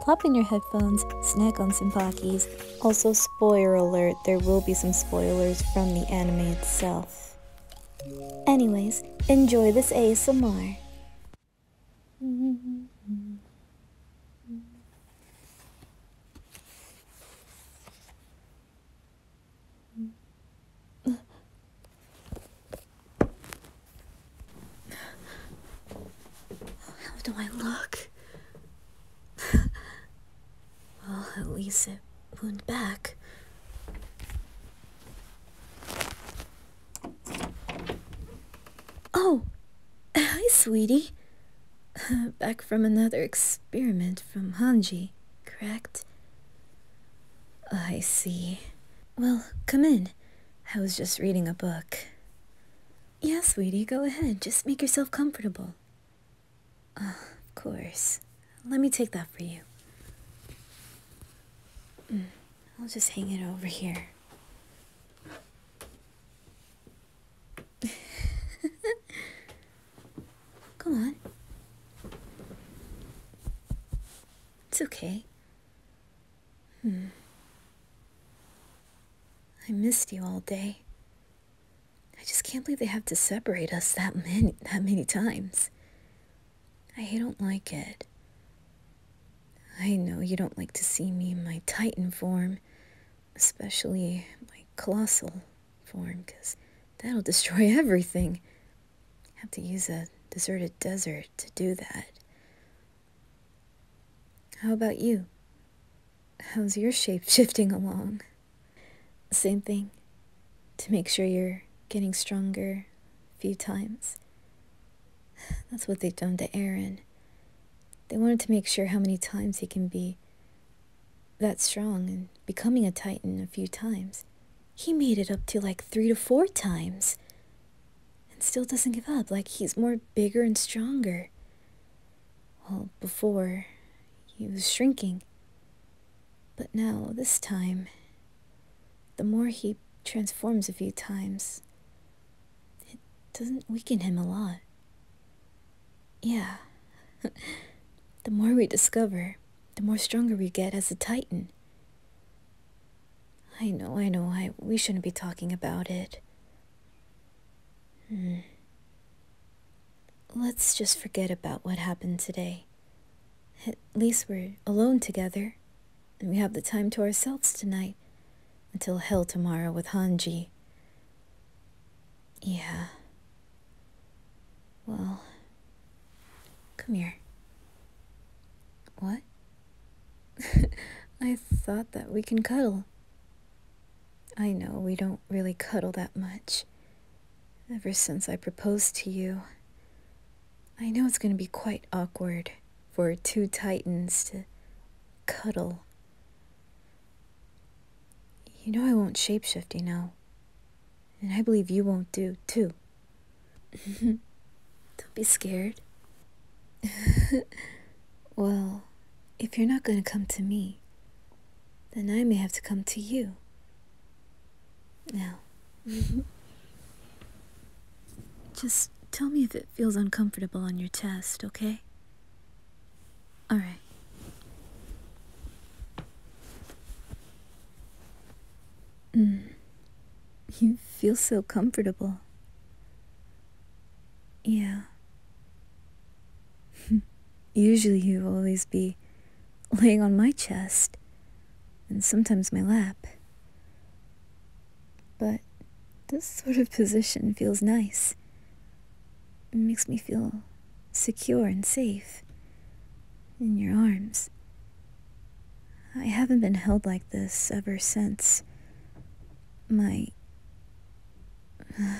Plop in your headphones, snack on some Pockies. Also, spoiler alert, there will be some spoilers from the anime itself. Anyways, enjoy this ASMR. How do I look? well, at least it wound back. Oh! Hi, sweetie! back from another experiment from Hanji, correct? I see. Well, come in. I was just reading a book. Yes, sweetie, go ahead. Just make yourself comfortable. Ah, of course. Let me take that for you. Mm, I'll just hang it over here. Come on. It's okay. Hmm. I missed you all day. I just can't believe they have to separate us that many that many times. I don't like it. I know you don't like to see me in my titan form, especially my colossal form, because that'll destroy everything. I have to use a deserted desert to do that. How about you? How's your shape shifting along? Same thing. To make sure you're getting stronger a few times. That's what they've done to Aaron. They wanted to make sure how many times he can be that strong and becoming a titan a few times. He made it up to like three to four times and still doesn't give up like he's more bigger and stronger. Well, before he was shrinking. But now, this time, the more he transforms a few times, it doesn't weaken him a lot. Yeah. the more we discover, the more stronger we get as a titan. I know, I know, I, we shouldn't be talking about it. Hmm. Let's just forget about what happened today. At least we're alone together, and we have the time to ourselves tonight until hell tomorrow with Hanji. Yeah. Well, come here. What? I thought that we can cuddle. I know we don't really cuddle that much. Ever since I proposed to you, I know it's going to be quite awkward for two titans to cuddle. You know I won't shapeshift, you know. And I believe you won't do, too. Don't be scared. well, if you're not going to come to me, then I may have to come to you. Now, just tell me if it feels uncomfortable on your chest, okay? Alright. Mm. You feel so comfortable. Yeah. Usually you will always be laying on my chest, and sometimes my lap. But this sort of position feels nice. It makes me feel secure and safe in your arms. I haven't been held like this ever since my.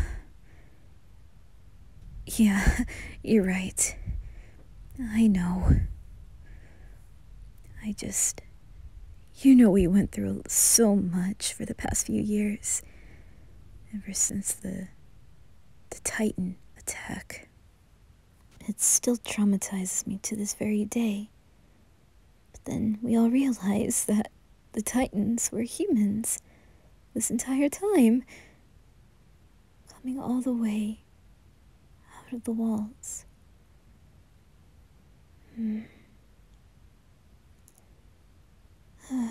yeah, you're right. I know. I just. You know, we went through so much for the past few years. Ever since the. the Titan attack. It still traumatizes me to this very day. But then we all realized that the Titans were humans this entire time, coming all the way out of the walls. Hmm.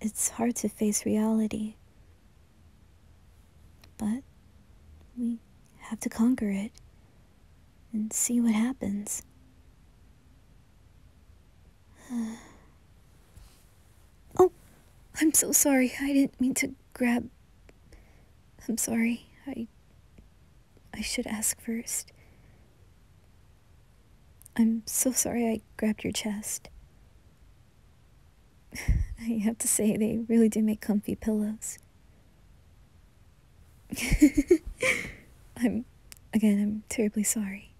it's hard to face reality, but we have to conquer it and see what happens. oh, I'm so sorry. I didn't mean to grab. I'm sorry. I. I should ask first. I'm so sorry I grabbed your chest. I have to say, they really do make comfy pillows. I'm, again, I'm terribly sorry.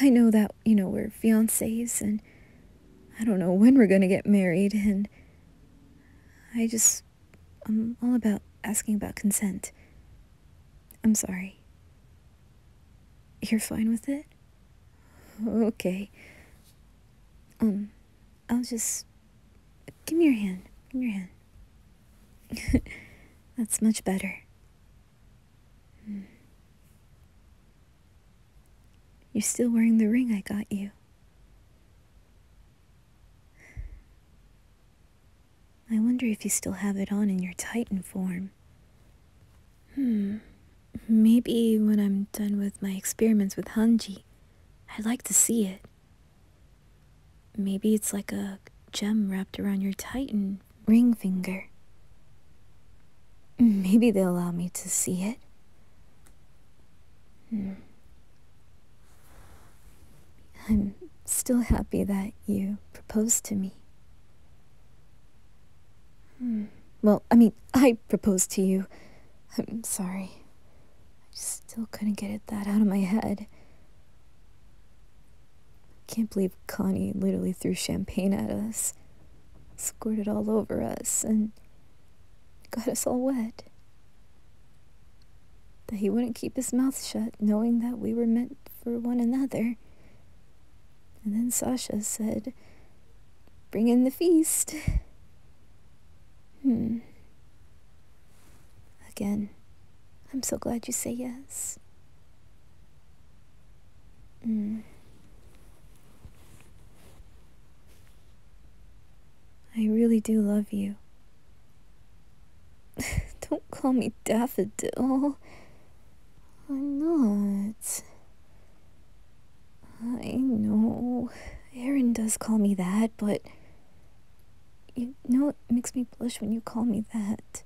I know that, you know, we're fiancés and I don't know when we're going to get married and I just, I'm all about asking about consent. I'm sorry. You're fine with it? Okay. Um, I'll just. Give me your hand. Give me your hand. That's much better. Hmm. You're still wearing the ring I got you. I wonder if you still have it on in your Titan form. Hmm. Maybe when I'm done with my experiments with Hanji, I'd like to see it. Maybe it's like a gem wrapped around your titan ring finger. Maybe they'll allow me to see it. Hmm. I'm still happy that you proposed to me. Hmm. Well, I mean, I proposed to you. I'm sorry. I just still couldn't get it that out of my head. can't believe Connie literally threw champagne at us, squirted all over us, and got us all wet. That he wouldn't keep his mouth shut, knowing that we were meant for one another. And then Sasha said, Bring in the feast. Hmm. Again, I'm so glad you say yes. Hmm. I really do love you. Don't call me Daffodil. I'm not. I know. Aaron does call me that, but you know, it makes me blush when you call me that.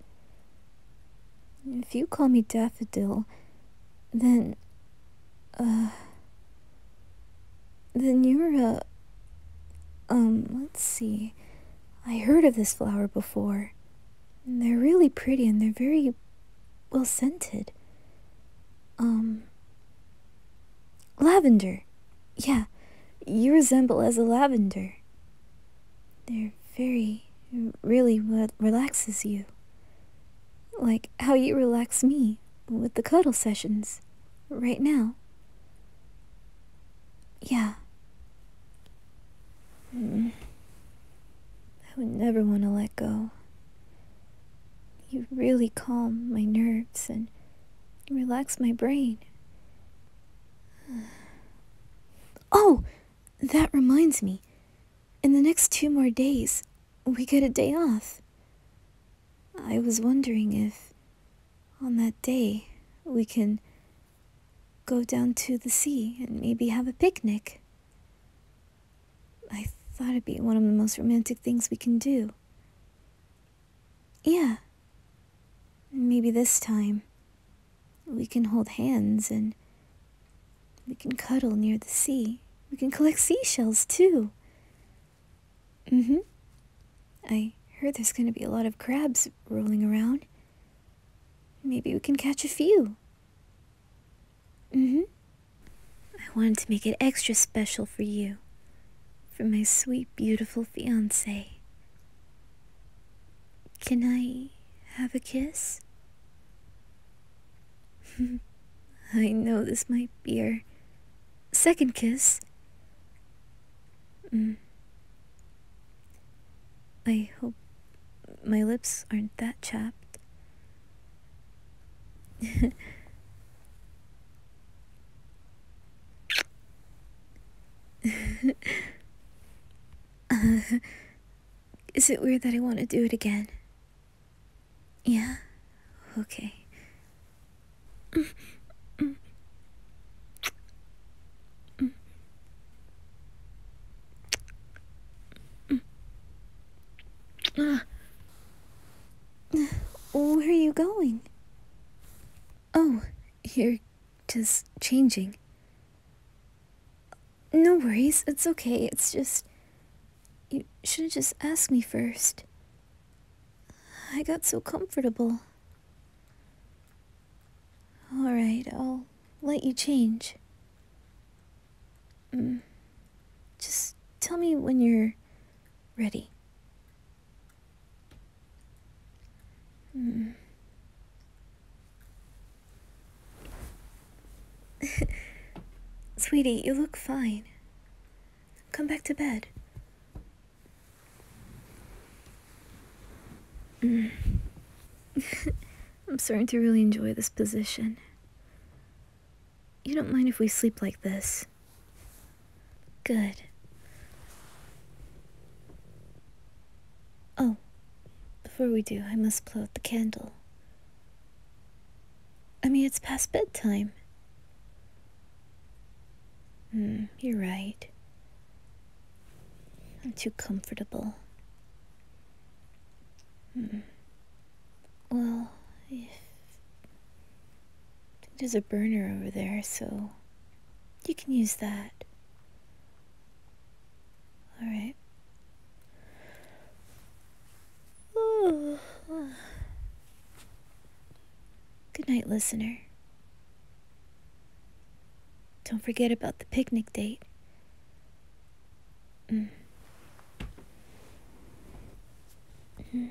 If you call me Daffodil, then. Uh. Then you're a. Um, let's see. I heard of this flower before. And they're really pretty and they're very well scented. Um, Lavender. Yeah, you resemble as a lavender. They're very, really what relaxes you. Like how you relax me with the cuddle sessions right now. Yeah. Mm. I would never want to let go. You really calm my nerves and relax my brain. Oh, that reminds me. In the next two more days, we get a day off. I was wondering if on that day we can go down to the sea and maybe have a picnic. I thought it'd be one of the most romantic things we can do. Yeah. Maybe this time we can hold hands and we can cuddle near the sea. We can collect seashells too. hmm. I heard there's going to be a lot of crabs rolling around. Maybe we can catch a few. hmm. I wanted to make it extra special for you, for my sweet, beautiful fiance. Can I have a kiss? I know this might be our second kiss. Mm. I hope my lips aren't that chapped. is it weird that I want to do it again? Yeah? Okay. Where are you going? Oh, you're just changing. No worries, it's okay, it's just... You should have just asked me first. I got so comfortable. Alright, I'll let you change. Mm. Just tell me when you're ready. Hmm. Sweetie, you look fine. Come back to bed. Hmm. I'm starting to really enjoy this position. You don't mind if we sleep like this? Good. Oh, before we do, I must blow out the candle. I mean, it's past bedtime. Hmm, you're right. I'm too comfortable. Hmm. Well, if. There's a burner over there, so you can use that. Alright. Good night, listener. Don't forget about the picnic date. Mm. Mm.